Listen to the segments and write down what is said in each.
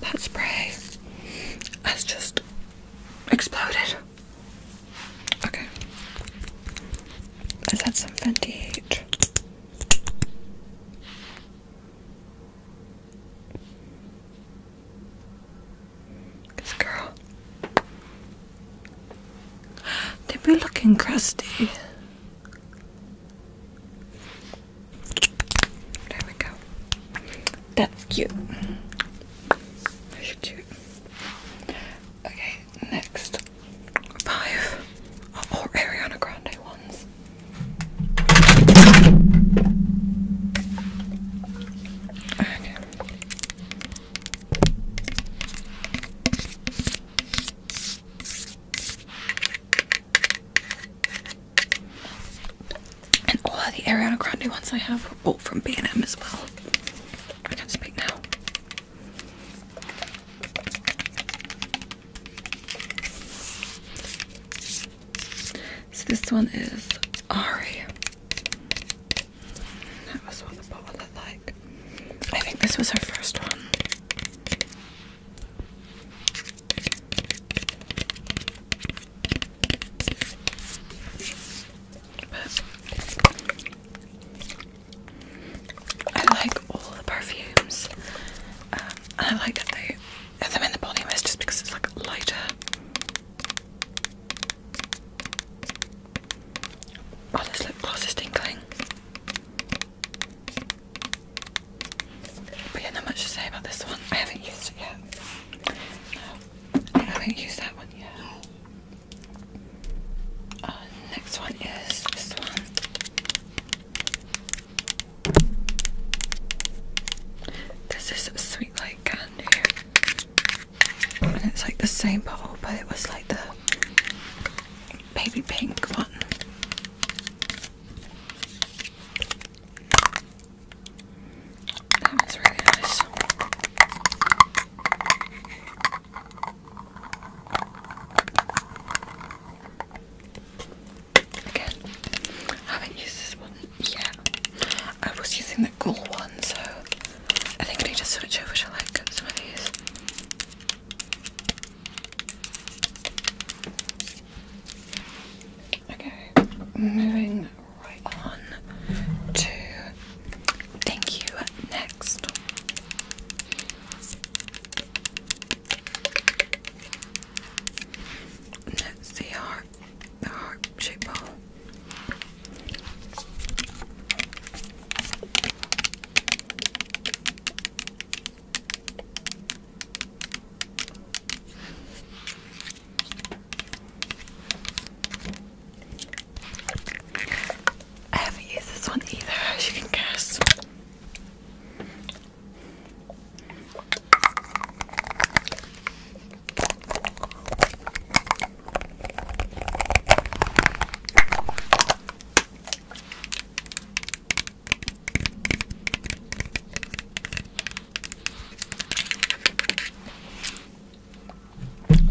That spray has just exploded. Okay. Is that some Fenty Heat? This girl. They be looking crusty. There we go. That's cute. That's cute. Okay, next five are Ariana Grande ones. Okay. And all of the Ariana Grande ones I have were both from B&M as well. I can't speak now. So this one is Ari. That was what the bottle looked like. I think this was her first one. I like all the perfumes, um, and I like that they have them in the body mist just because it's like lighter. Oh, this lip gloss is tinkling. But yeah, not much to say about this one. I haven't used it yet. No, I haven't used that one yet. Uh, next one is this one. This is sweet light candy, and it's like the same bottle, but it was like the baby pink one. That was really nice. Again, haven't used this one yet. I was using the cool one, so I think I need to switch over to like some of these. Okay, moving right on to thank you next. Let's heart, the heart shape ball. I haven't used this one either, as you can guess.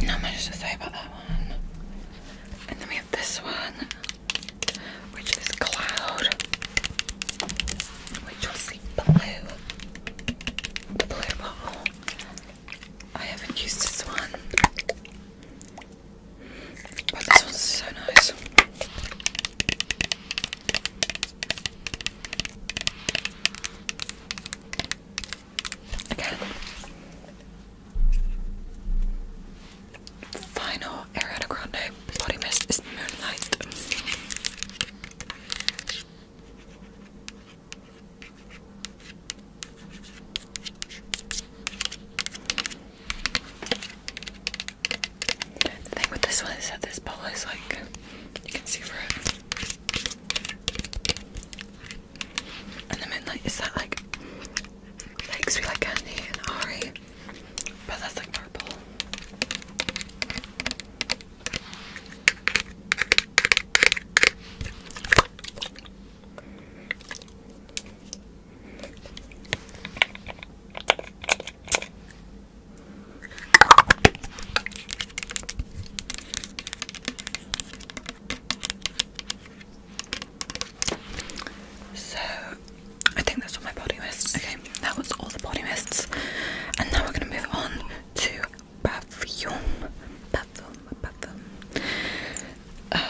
Not much to say about that one. And then we have this one, which is Cloud, which was the blue, the blue bottle. I haven't used this one, but this one's so nice. Okay. Final Ariana Grande body mist is Moonlight. The thing with this one is that this ball is like, you can see through it. And the midnight is that like, makes me like candy and Ari, but that's like purple. So, I think that's all my body mists. Okay, that was all the body mists, and now we're gonna move on to perfume, perfume, perfume. Um,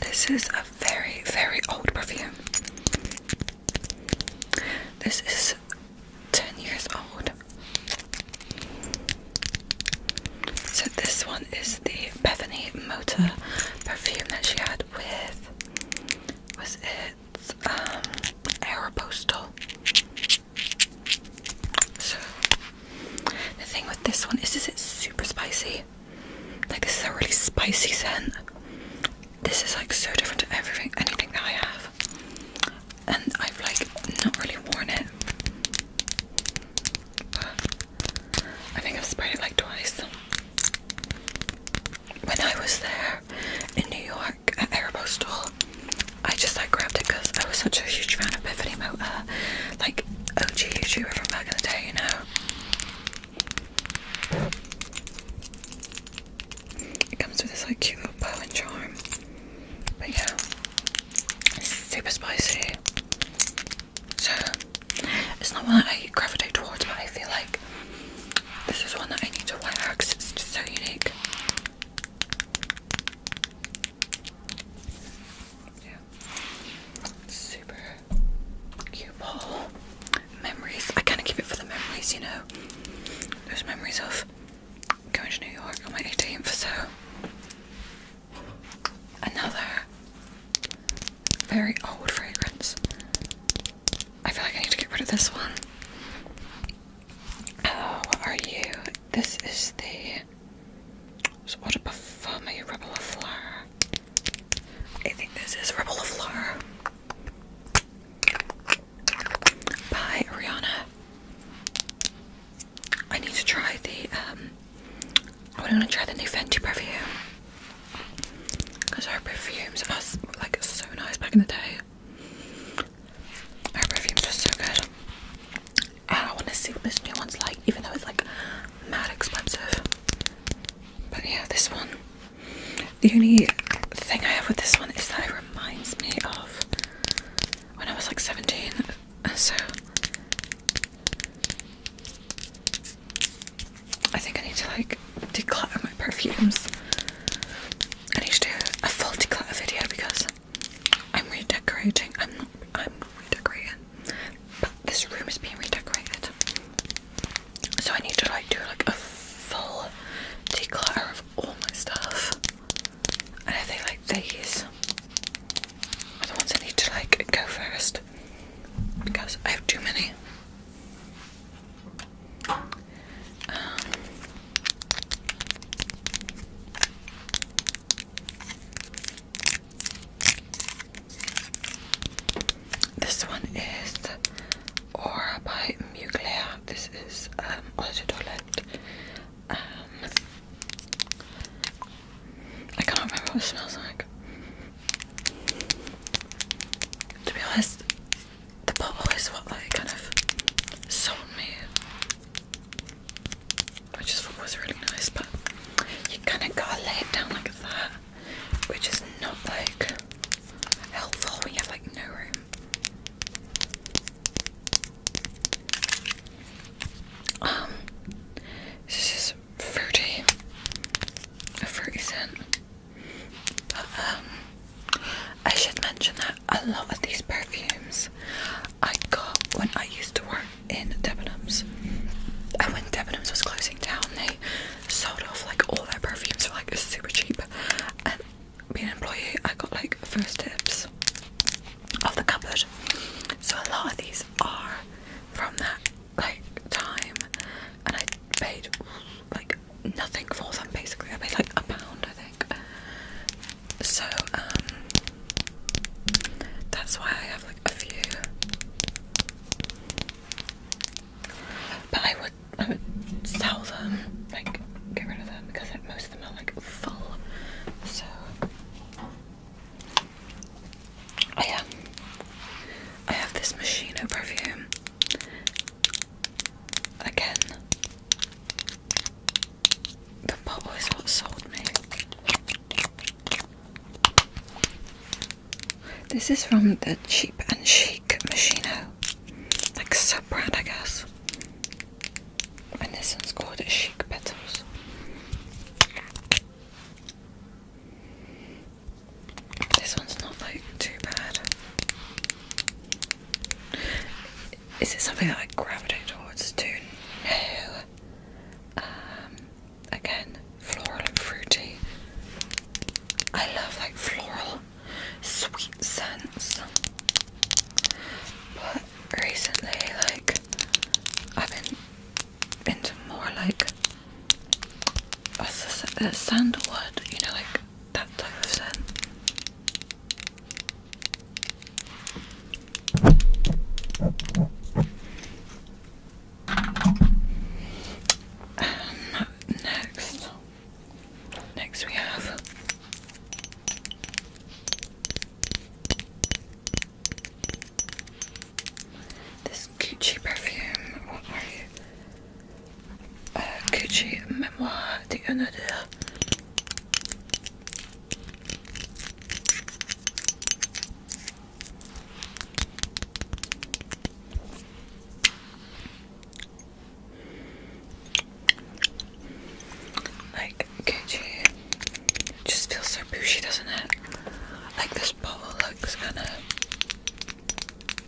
this is a very, very old perfume. This is 10 years old. So, this one is the Bethany Motor perfume that she had with. Was it um, Aeropostal? So, the thing with this one is, is it super spicy. Like this is a really spicy scent. This is like so different to everything, anything that I have, and I've like not really worn it. I think I've sprayed it like twice. When I was there in New York at Aeropostale, I just like grabbed it because I was such a huge fan of Bethany Mota, like OG YouTuber from back in the day, you know. It comes with this like cute little bow and charm. But yeah, super spicy. So it's not one that I gravitate towards, but I feel like this is one that I need to wear because it's just so unique super cute ball. Memories. I kind of keep it for the memories, you know. Those memories of going to New York on my 18th or so. Another very old fragrance. I feel like I need to get rid of this one. Oh, what are you? This is the. So what a rebel of flower. I think this is Rebel of Lore Rihanna. I need to try the um, i want to try the new Fenty perfume because our perfumes are like so nice back in the day. Her perfumes are so good. I want to see what this new one's like, even though it's like mad expensive. But yeah, this one. The only thing I have with this one is that it reminds me of when I was like 17. So I think I need to like declutter my perfumes. I need to do a full declutter video because I'm redecorating. I'm I'm redecorating. But this room is being redecorated. So I need to like do like a full declutter of all my stuff. And I think like these are the ones I need to like go first. Because I have too many. Um, this one is Aura by Mugler. This is um, Eau de Um, I can't remember what it smells like. To be honest, the bottle is what like kind of sold me, which is what was really nice. But you kind of gotta lay it down like that which is not like helpful when have like no room. Um, this is fruity, a fruity scent. um, I should mention that a lot these perfumes I got when I used to work in Debenhams and when Debenhams was closing down they sold off like all their perfumes for like super cheap and being an employee I got like first tips of the cupboard so a lot of these are from that like time and I paid like nothing for them basically I paid like a pound I think so um that's why I have like a few but I would I would sell them, like get rid of them because most of them are like full. So I am. I have this Machino perfume again. The bottle is what sold me. This is from the Cheap and Chic Machino, like sub brand, I guess. And this one's called Chic Petals. This one's not like too bad. Is it something that I gravitate towards too? No again, floral and fruity. I love like floral, sweet scents. But recently, like, I've been into more like uh, sandalwood, you know, like that type of scent. Um, next, next we have this Gucci perfume. What are you? Gucci Memoir de un like, could just feels so bougie, doesn't it? Like this bottle looks kinda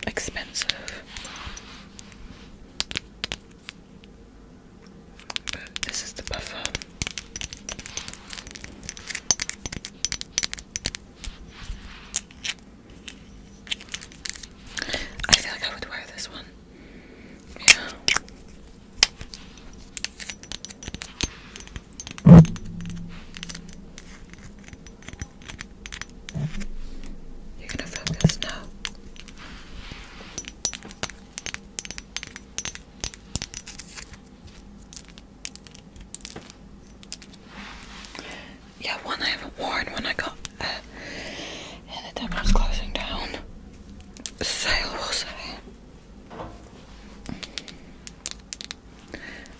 expensive. But this is the buffer. I feel like I would wear this one. Yeah. You're gonna focus now. Yeah, one I haven't worn One I got uh, And the time was closing down. Sale was it?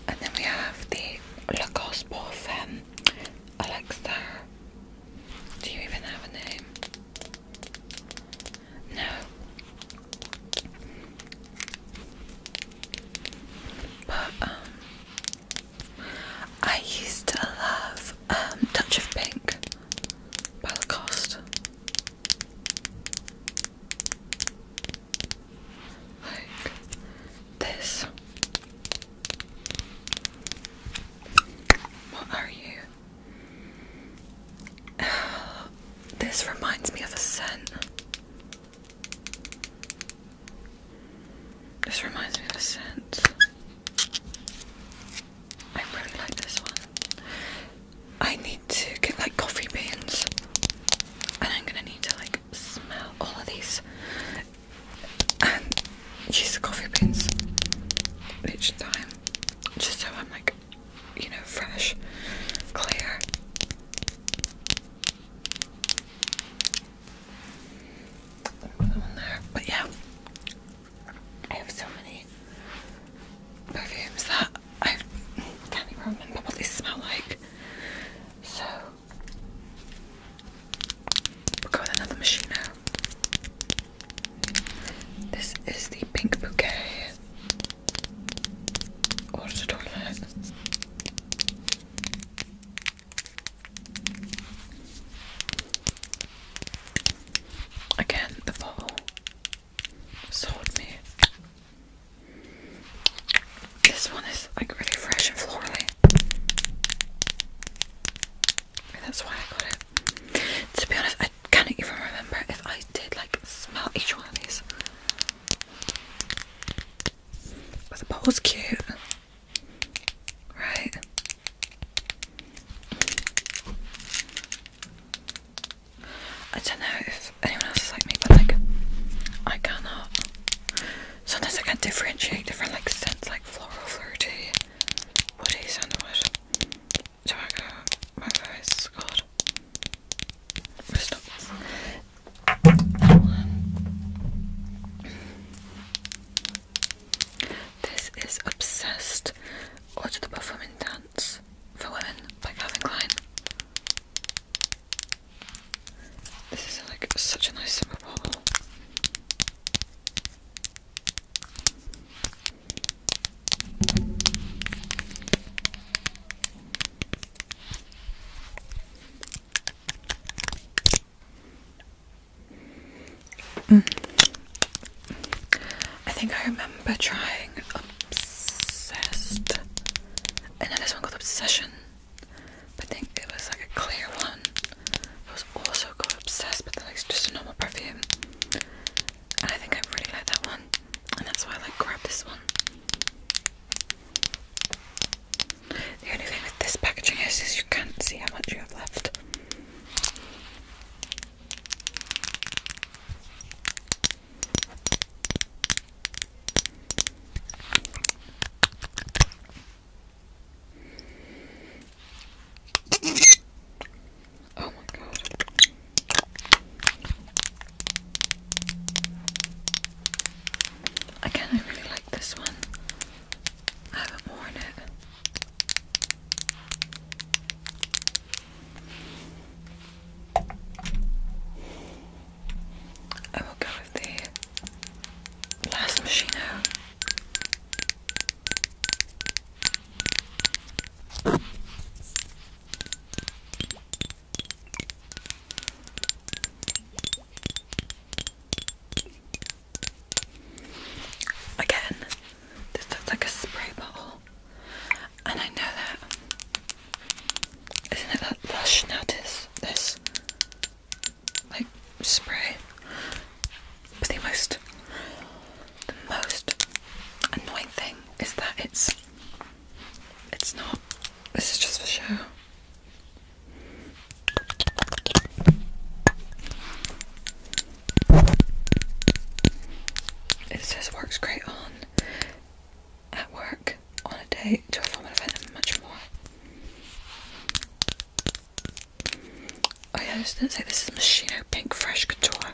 And then we have the Lacoste Parfum Alexa. Do you even have a name? No. But um, I used to love um, Touch of Pink by Like this. What are you? This reminds me of a scent. This reminds me of a scent. I really like this one. I need to get like coffee beans, and I'm gonna need to like smell all of these and use the coffee beans each time, just so I'm like, you know, fresh, clear there. But yeah, I have so many perfumes that I can't remember what they smell like. So we'll go with another machine now. This is the pink bouquet. Water toilet. Again, the bottle sold me. This one is like really fresh and florally. that's why I got it. To be honest, I can't even remember if I did like smell each one of these. But the pole's cute. Right? I don't know if anyone else is like me, but like, I cannot. Sometimes I can't differentiate different like scents, like floral, fruity, woody, sandalwood, tobacco, my voice, God this. is Obsessed Order the Performing Dance for Women by Calvin Klein. This is like such a nice summer bottle. Mm. I think I remember trying obsessed, and then this one called obsession. But I think it was like a clear one. It was also called obsessed, but then it's just a normal perfume. And I think I really like that one, and that's why I like grab this one. The only thing with this packaging is, is you can't see how much you have left. Oh my god. Again, I really like this one. I haven't worn it. I will go with the last machine Again, this looks like a spray bottle, and I know that. Isn't it that lush now? This, like spray, but the most, most annoying thing is that it's, it's not. This is just for show. It says works great on at work, on a date, to a formal event, and much more. Oh yeah, I just didn't say this is Machino Pink Fresh Couture.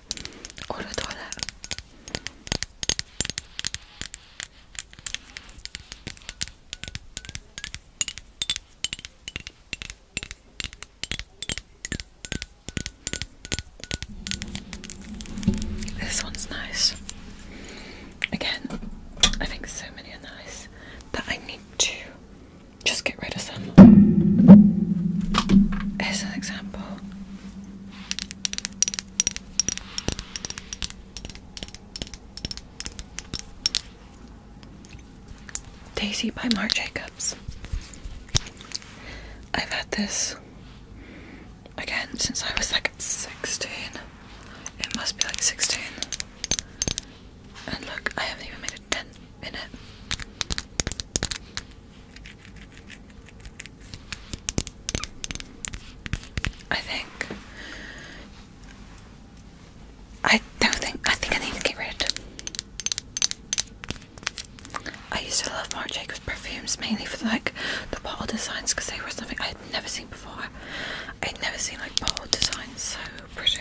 Order toilet. This one's nice. Again, I think so many are nice that I need to just get rid of some. Here's an example. Daisy by Marc Jacobs. I've had this again since I was like 16. It must be like 16. And look, I haven't even made a dent in it. I think I don't think I think I need to get rid. I used to love Marc Jacobs perfumes mainly for like the bottle designs because they were something I had never seen before. I'd never seen like bottle designs so pretty.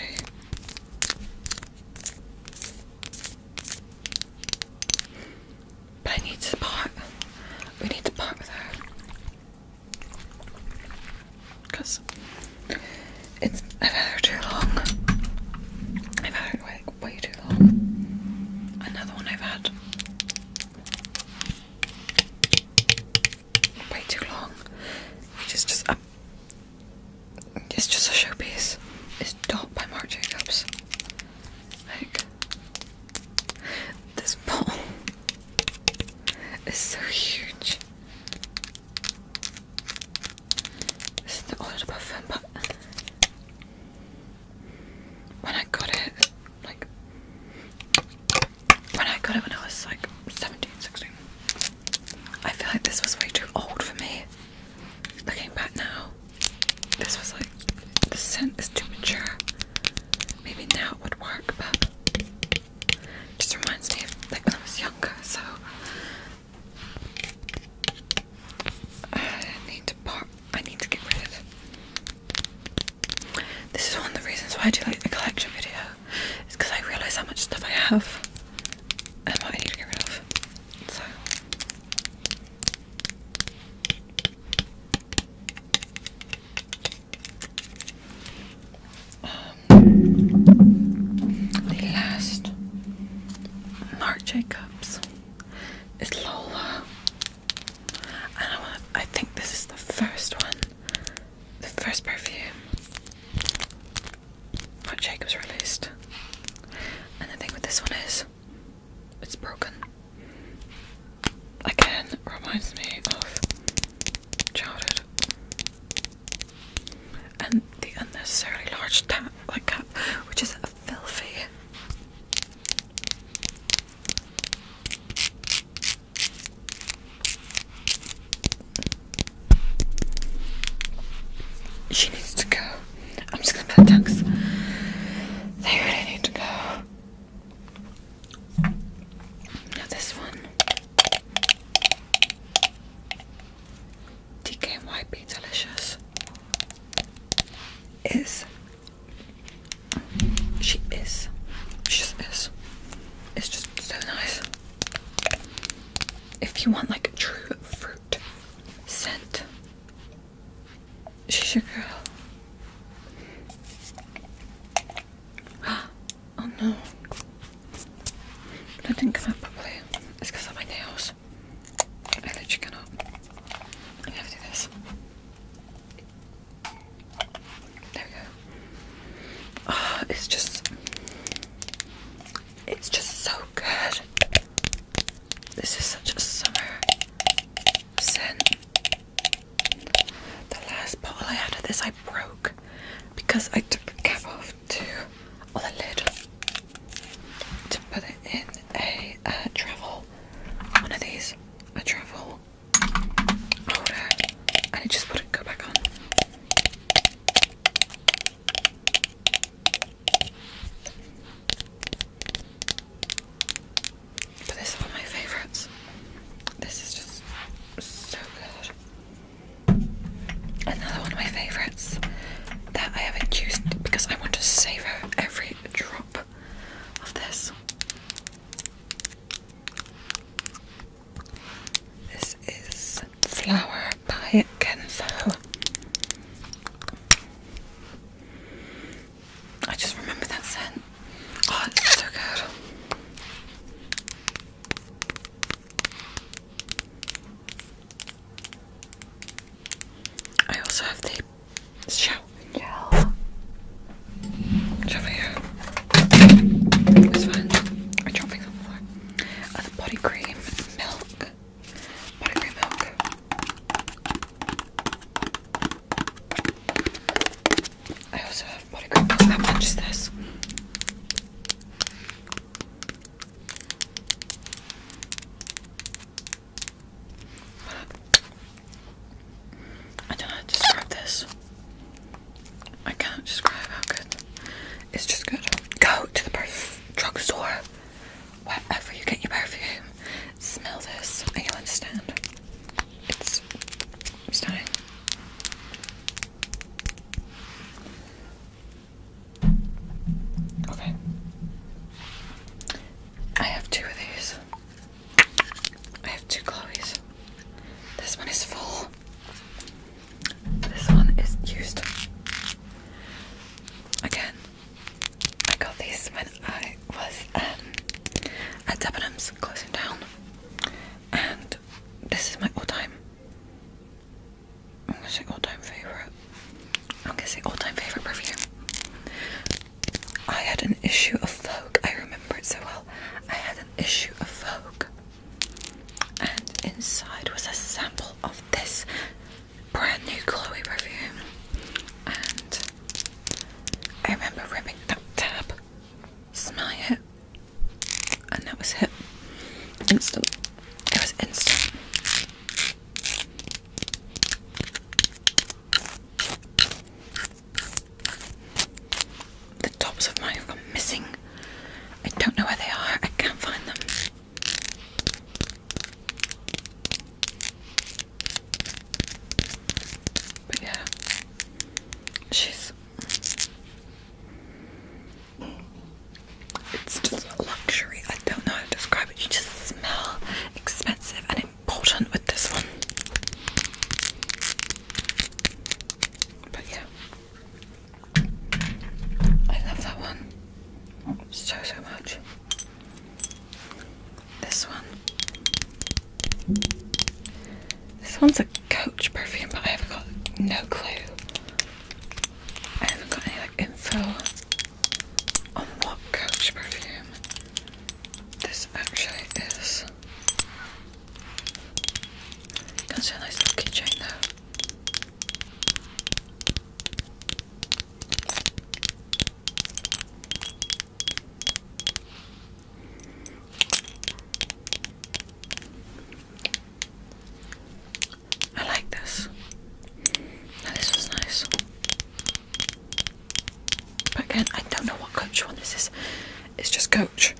But I need to part. We need to part with her. Cause it's I've had her too long. I've had her way, way too long. Another one I've had way too long. it's just a showpiece. It's Dot by Mark Jacobs. Like this bottle it's so huge. This is the oil above them, but when I got it, like when I got it when I was like 17, I feel like this was way too old for me. Looking back now, this was like the scent is too mature. Maybe now it would work, but just reminds me of like when I was younger, so I need to part I need to get rid of. This is one of the reasons why I do like the collection video. It's because I realise how much stuff I have and what I need to get rid of. So um, the last Marc Jacobs is Lola, and I want. I think this is the first one, the first perfume Marc Jacobs released, and the thing with this one is it's broken again reminds me of childhood and the unnecessarily large tap like cap which is filthy she needs to go. I'm just gonna put ducks. They really need to go. Now this one. DKY Be Delicious is she is she is it's just so nice if you want like a true fruit scent she's your girl Oh no. That didn't come out properly. It's because of my nails. I literally cannot. I have to do this. There we go. Oh, it's just. It's just so good. This is such a summer scent. The last bottle I had of this I broke because I took the cap off too, or the lid to put it in a travel one of these a travel holder and it just wouldn't go back on. But this is one of my favourites. This is just so good. Another one of my favourites that I haven't used because I want to savour every drop of this. This is Flower by Kenzo. I just remember that scent. Oh, I also have the shower gel. over here. This one. I'm dropping on the uh, the body cream milk. Body cream milk. I also have body cream. How much is this? I do describe this. I can describe how good. It's just good. Go to the perf drugstore. Wherever you get your perfume, smell this and you'll understand. It's stunning. Okay. I have two of these. I have two Chloe's. This one is full. This one is used. Again, I got these when I was um, at Debenhams closing down, and this is my all-time. I'm gonna say all-time favorite. I'm gonna say all-time favorite perfume. I had an issue of Vogue. I remember it so well. I had an issue of Vogue, and inside was a sample of this brand new Chloe perfume. And I remember ripping that tab, Smell it, and that was hit. Instant. It was instant. The tops of mine have gone missing. I don't know where they are. I can't find them. But yeah, she's it's just a luxury. I don't know how to describe it. You just smell expensive and important with this one. But yeah. I love that one so so much. This one this one's a Coach perfume, but I have got no clue. I haven't got any like info on what Coach perfume this actually is. That's a nice little keychain though. I like this. Now this was nice. But again, I don't know what coach one this is. It's just coach.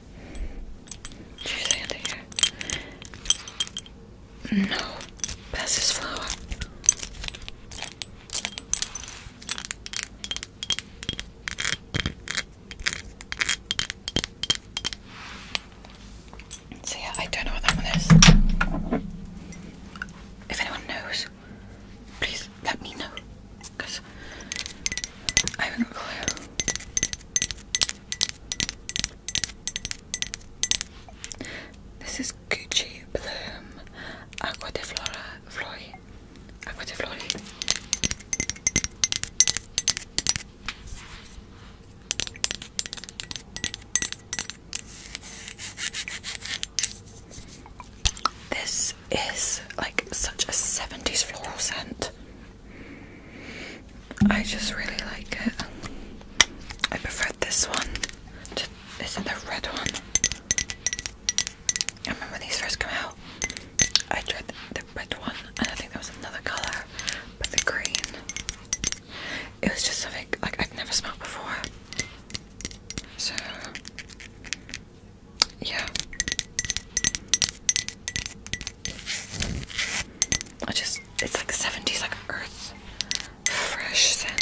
No, that's his flower. So yeah, I don't know what that one is. If anyone knows, please let me know, because I haven't got a This is Gucci Bloom Aqua de Flora this is like such a 70s floral scent. I just really like it. I prefer this one to is the red one. I remember these first come out. I tried the red one, and I think there was another colour, but the green. It was just something like I've never smelled before. So yeah. I just it's like 70s like earth fresh scent.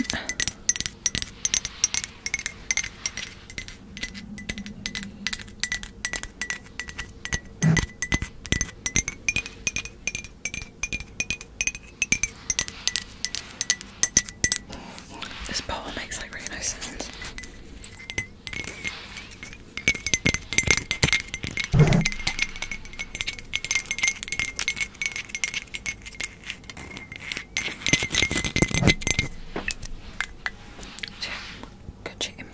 This part makes like really nice sounds. Good in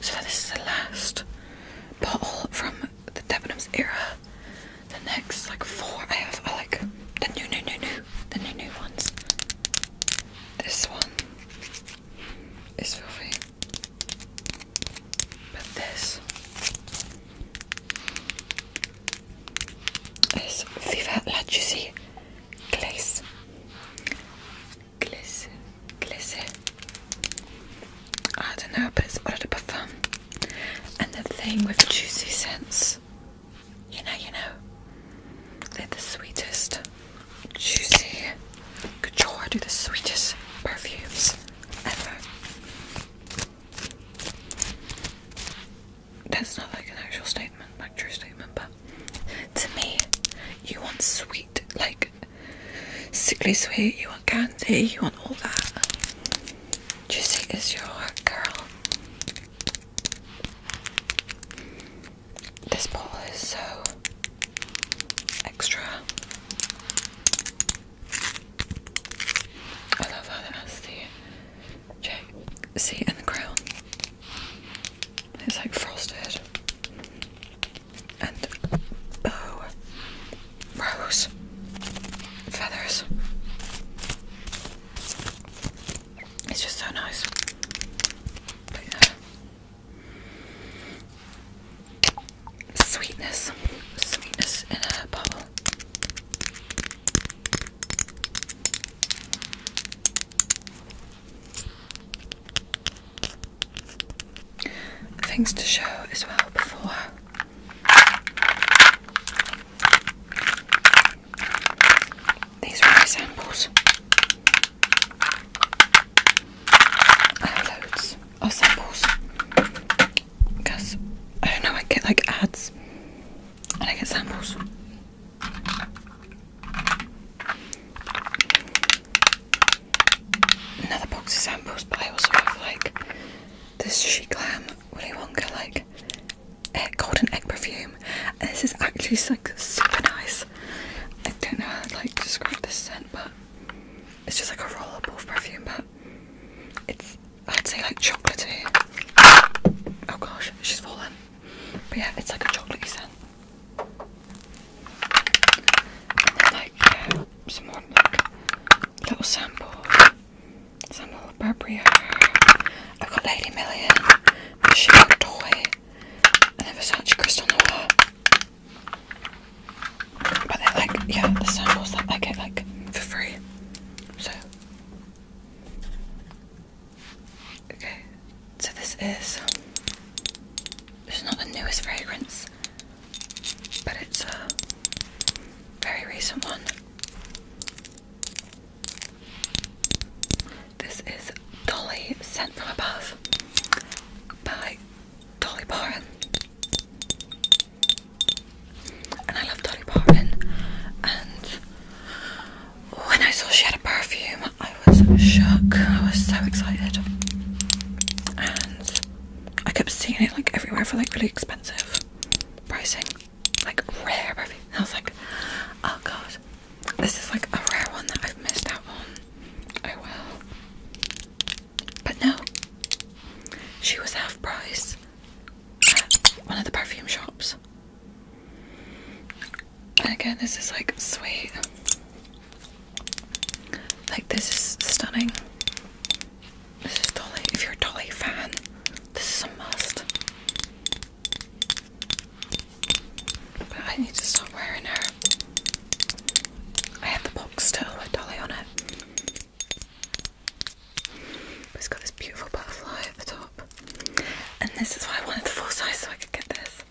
so this is the last bottle from the Debenhams era. The next like four I have are like the new new new new the new new ones. This one is filthy. But this it's viva la juicy glaze glaze glaze I don't know but it's part of the parfum and the thing with juicy scents you know you know they're the sweetest juicy couture do the sweetest perfumes ever that's not like an actual statement, like true statement, but to me, you want sweet, like sickly sweet, you want candy, you want all that. Juicy is your girl. This ball is so extra. I love how that the J see in the ground, It's like frosted and bow, oh, rose, feathers. It's just so nice. Sweetness, sweetness in a bubble. Things to show as well before. These are my samples. loads of samples because I don't know, I get like ads and I get samples. Another box of samples, but I also have like this She Glam Willy Wonka like egg, golden egg perfume, and this is actually like super nice. I don't know how to like describe the scent, but it's just like a roll up perfume, but it's I'd say like chocolatey. Oh gosh, she's fallen. But yeah, it's like a chocolatey scent. like some more little sample. Sample little Burberry. I've got Lady Million, my shield toy, and then Versace Crystal Noir. But they're like, yeah, the samples that I get like for free. So Okay, so this is this is not the newest fragrance, but it's a very recent one. This is Dolly Sent from Above by Dolly Parton. And I love Dolly Parton and when I saw she had a perfume, I was shocked. I was so excited. And I kept seeing it like everywhere for like really expensive pricing. Like rare perfume. And I was like, oh god. This is like a rare one that I've missed That one, Oh well. But no. She was half price at one of the perfume shops. And again, this is like sweet. Like, this is stunning. This is Dolly. If you're a Dolly fan, this is a must. But I need to stop wearing her. I have the box still with Dolly on it. it's got this beautiful butterfly at the top. And this is why I wanted the full size so I could get this.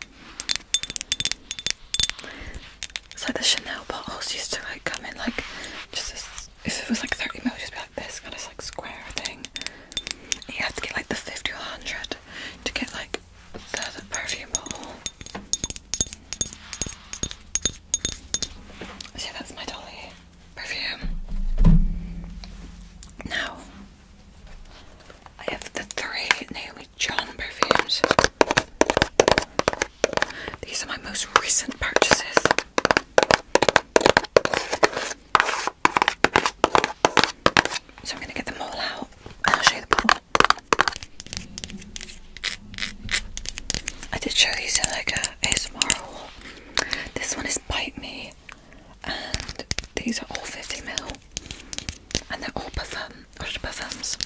So the Chanel bottles used to like come in like just this, if it was like 30 mil, just be like this kind of like square thing. you have to get like the 50 or 100 to get like the, perfume bottle. yeah, that's my dolly perfume. Now I have the three Naomi John perfumes. These are my most recent purchases. So I'm going to get them all out I'll show you the bottle. I did show these in like uh, This one is Bite Me and these are all 50ml and they're all parfum, parfums.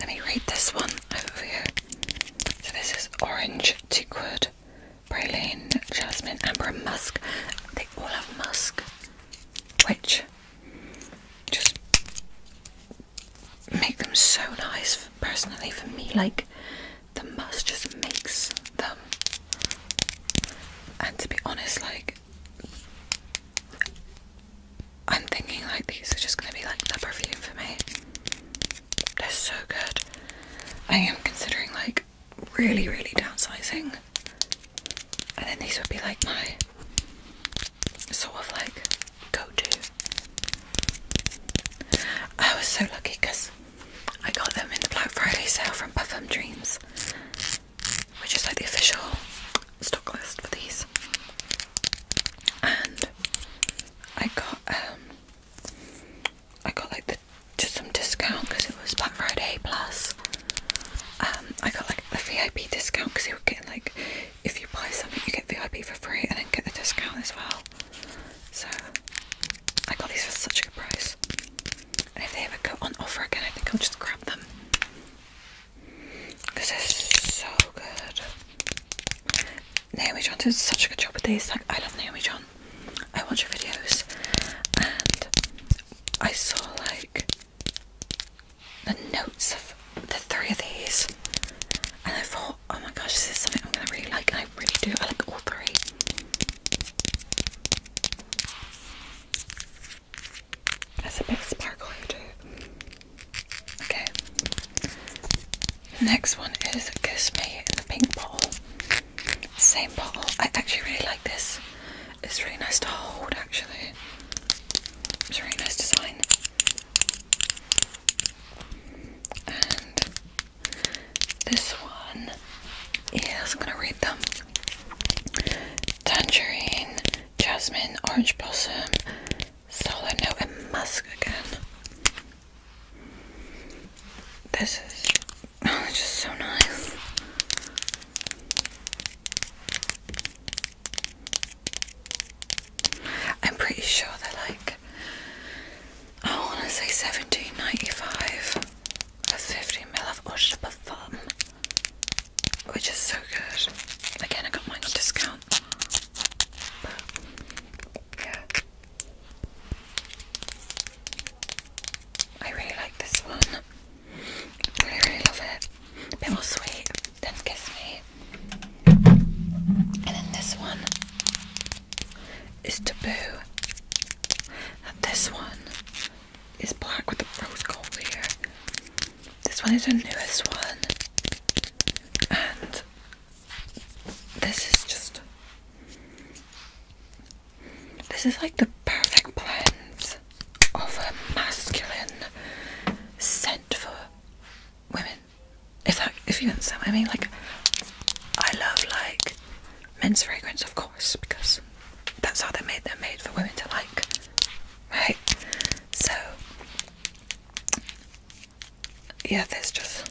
Let me read this one over here. So this is orange, teakwood, praline, jasmine, amber and musk. They all have musk, which just make them so nice personally for me. Like the must just makes them. And to be honest, like I'm thinking like these are just gonna be like the perfume for me. They're so good. I am considering like really, really downsizing. And then these would be like my sort of like go to. I was so lucky because I got them in the Black Friday sale from Parfum Dreams, which is like the official stock list for these. And I got um I got like the just some discount because it was Black Friday plus. Um, I got like the VIP discount because you were getting like if you buy something you get VIP for free and then get the discount as well. So I got these for such a good price. And if they ever go on offer again, I think I'll just grab them. Because they're so good. Naomi John did such a good job with these. Like, I love Naomi John. I watch her videos. And I saw, like, the notes of the three of these. And I thought, oh my gosh, this is something I'm going to really like. And I really do. I like all three. That's a big sparkle here too. Okay. Next one is Kiss Me in the pink Ball. Same ball. I actually really like this. It's really nice to hold actually. It's a really nice design. And this one is, I'm gonna read them Tangerine, Jasmine, Orange Blossom, Solar Note, and Musk again. This is oh, just so nice. I'm pretty sure they're like I want to say 17.95 a 50 ml of Eau de which is so good. Again, I got mine discount. yeah. I really like this one. really, really love it. bit more sweet than Kiss Me. And then this one is taboo. this one is black with the rose gold here. This one is her newest one. And this is just this is like the perfect blend of a masculine scent for women. If that if you understand what I mean, like I love like men's fragrance of course because that's how they made. them made for women to like, right? So, yeah, this just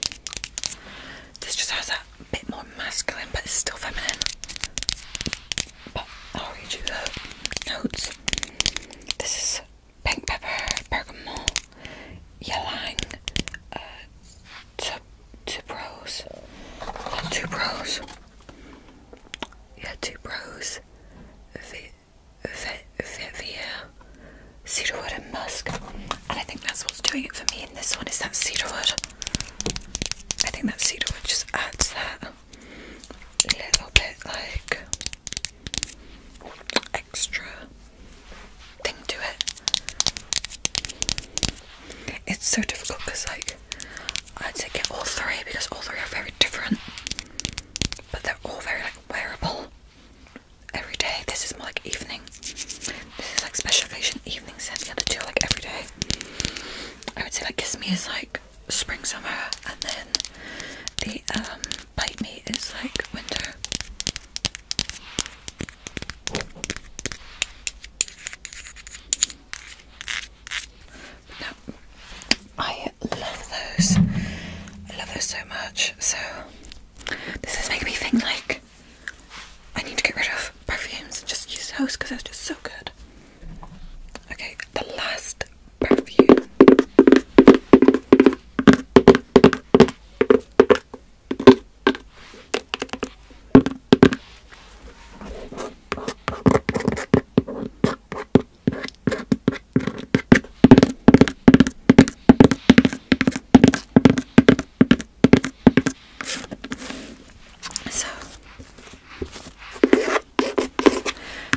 this just has that bit more masculine, but it's still feminine. But I'll read you the notes. This is pink pepper, bergamot, ylang, uh, Two bros. Two bros. Yeah, two bros. Vivier. Cedarwood and musk. And I think that's what's doing it for me in this one is that cedarwood. I think that cedarwood just adds that little bit like extra thing to it. It's so difficult because like I'd say get all three because all three are very different, but they're all very like wearable every day. This is more like evening. This is like special occasion evening set. The other two like every day. I would say like Kiss Me is like spring summer, and then the um, Bite Me is like winter. Now, I love those. I love those so much. So this is making me think like I need to get rid of perfumes and just use those because they just so good. Okay, the last perfume. So,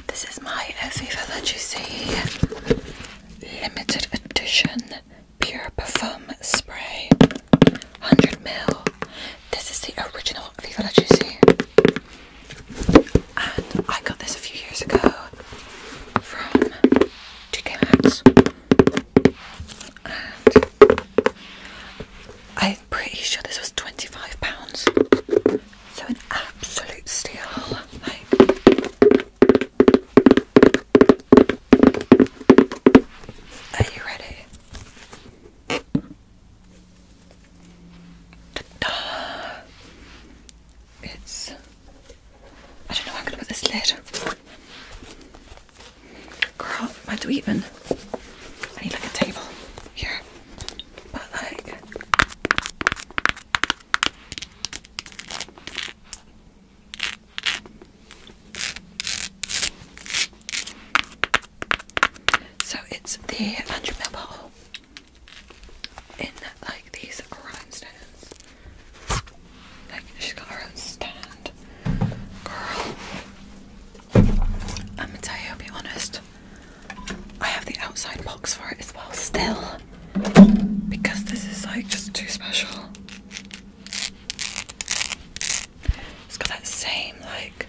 this is my Viva La Juicy limited edition pure perfume spray, 100 ml. This is the original Viva La Juicy. And I got this a few years ago from 2K I'm pretty sure this was £25. So an absolute steal. are you ready? It's. I don't know where I'm going to put this lid. Girl, where do even? I need like a table here. But like. So it's the 100 mil bottle in like these rhinestones. Like she's got her own stand. Girl, I'm gonna tell you, I'll be honest. I have the outside box for it as well, still. Because this is like just too special. It's got that same like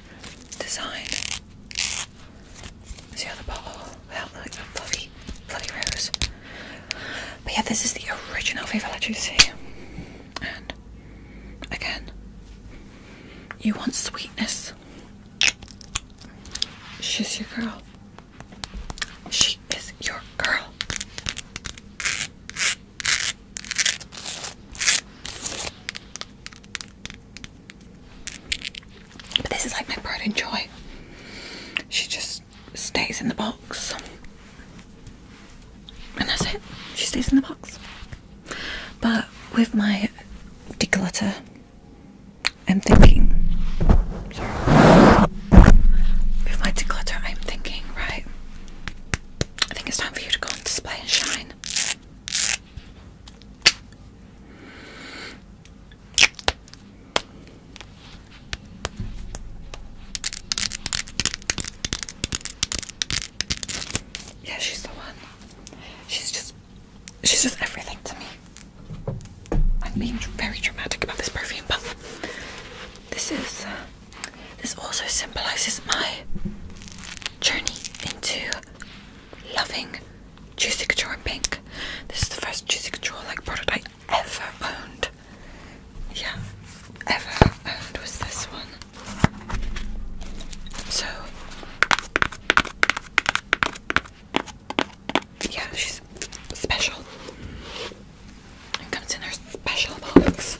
design as the other bottle without like the bloody bloody rose. But yeah, this is the original Viva La Juicy. And again, you want sweetness. She's your girl. She is your girl. But this is like my pride and joy. She just stays in the box. And that's it. She stays in the box. But with my declutter, I'm thinking. With my declutter, I'm thinking, right? I think it's time for you to go and display and shine. Yeah, she's the one. She's just she's just everything to me. I'm being very dramatic about this perfume, but this is uh, this also symbolizes my journey into loving Juicy Couture pink. This is the first Juicy Couture like product I ever owned. Yeah, ever owned was this one. So, yeah, she's special. It comes in her special box.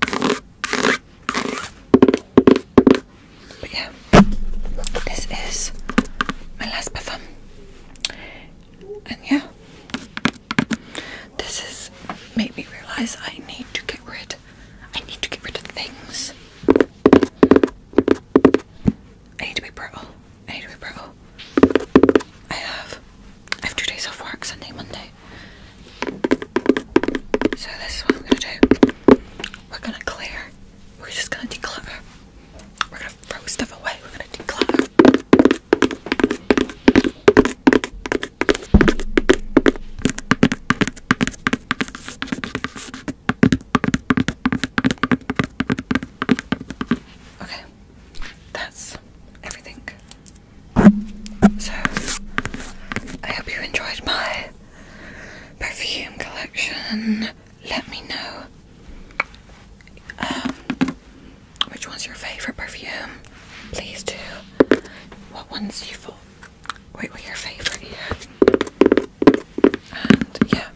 But yeah, this is my last perfume. And yeah, this has made me realize I need to get rid. I need to get rid of things. I need to be brittle. I need to be brittle. I have I have two days of work, Sunday, Monday. So this is what I'm gonna do. We're gonna clear. We're just gonna declutter. We're gonna throw stuff away. We're gonna declutter. Okay, that's everything. So, I hope you enjoyed my perfume collection. Let me know um, which one's your favourite perfume. Please do. What ones you thought? Wait, what your favourite? And yeah,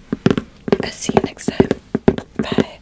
I'll see you next time. Bye.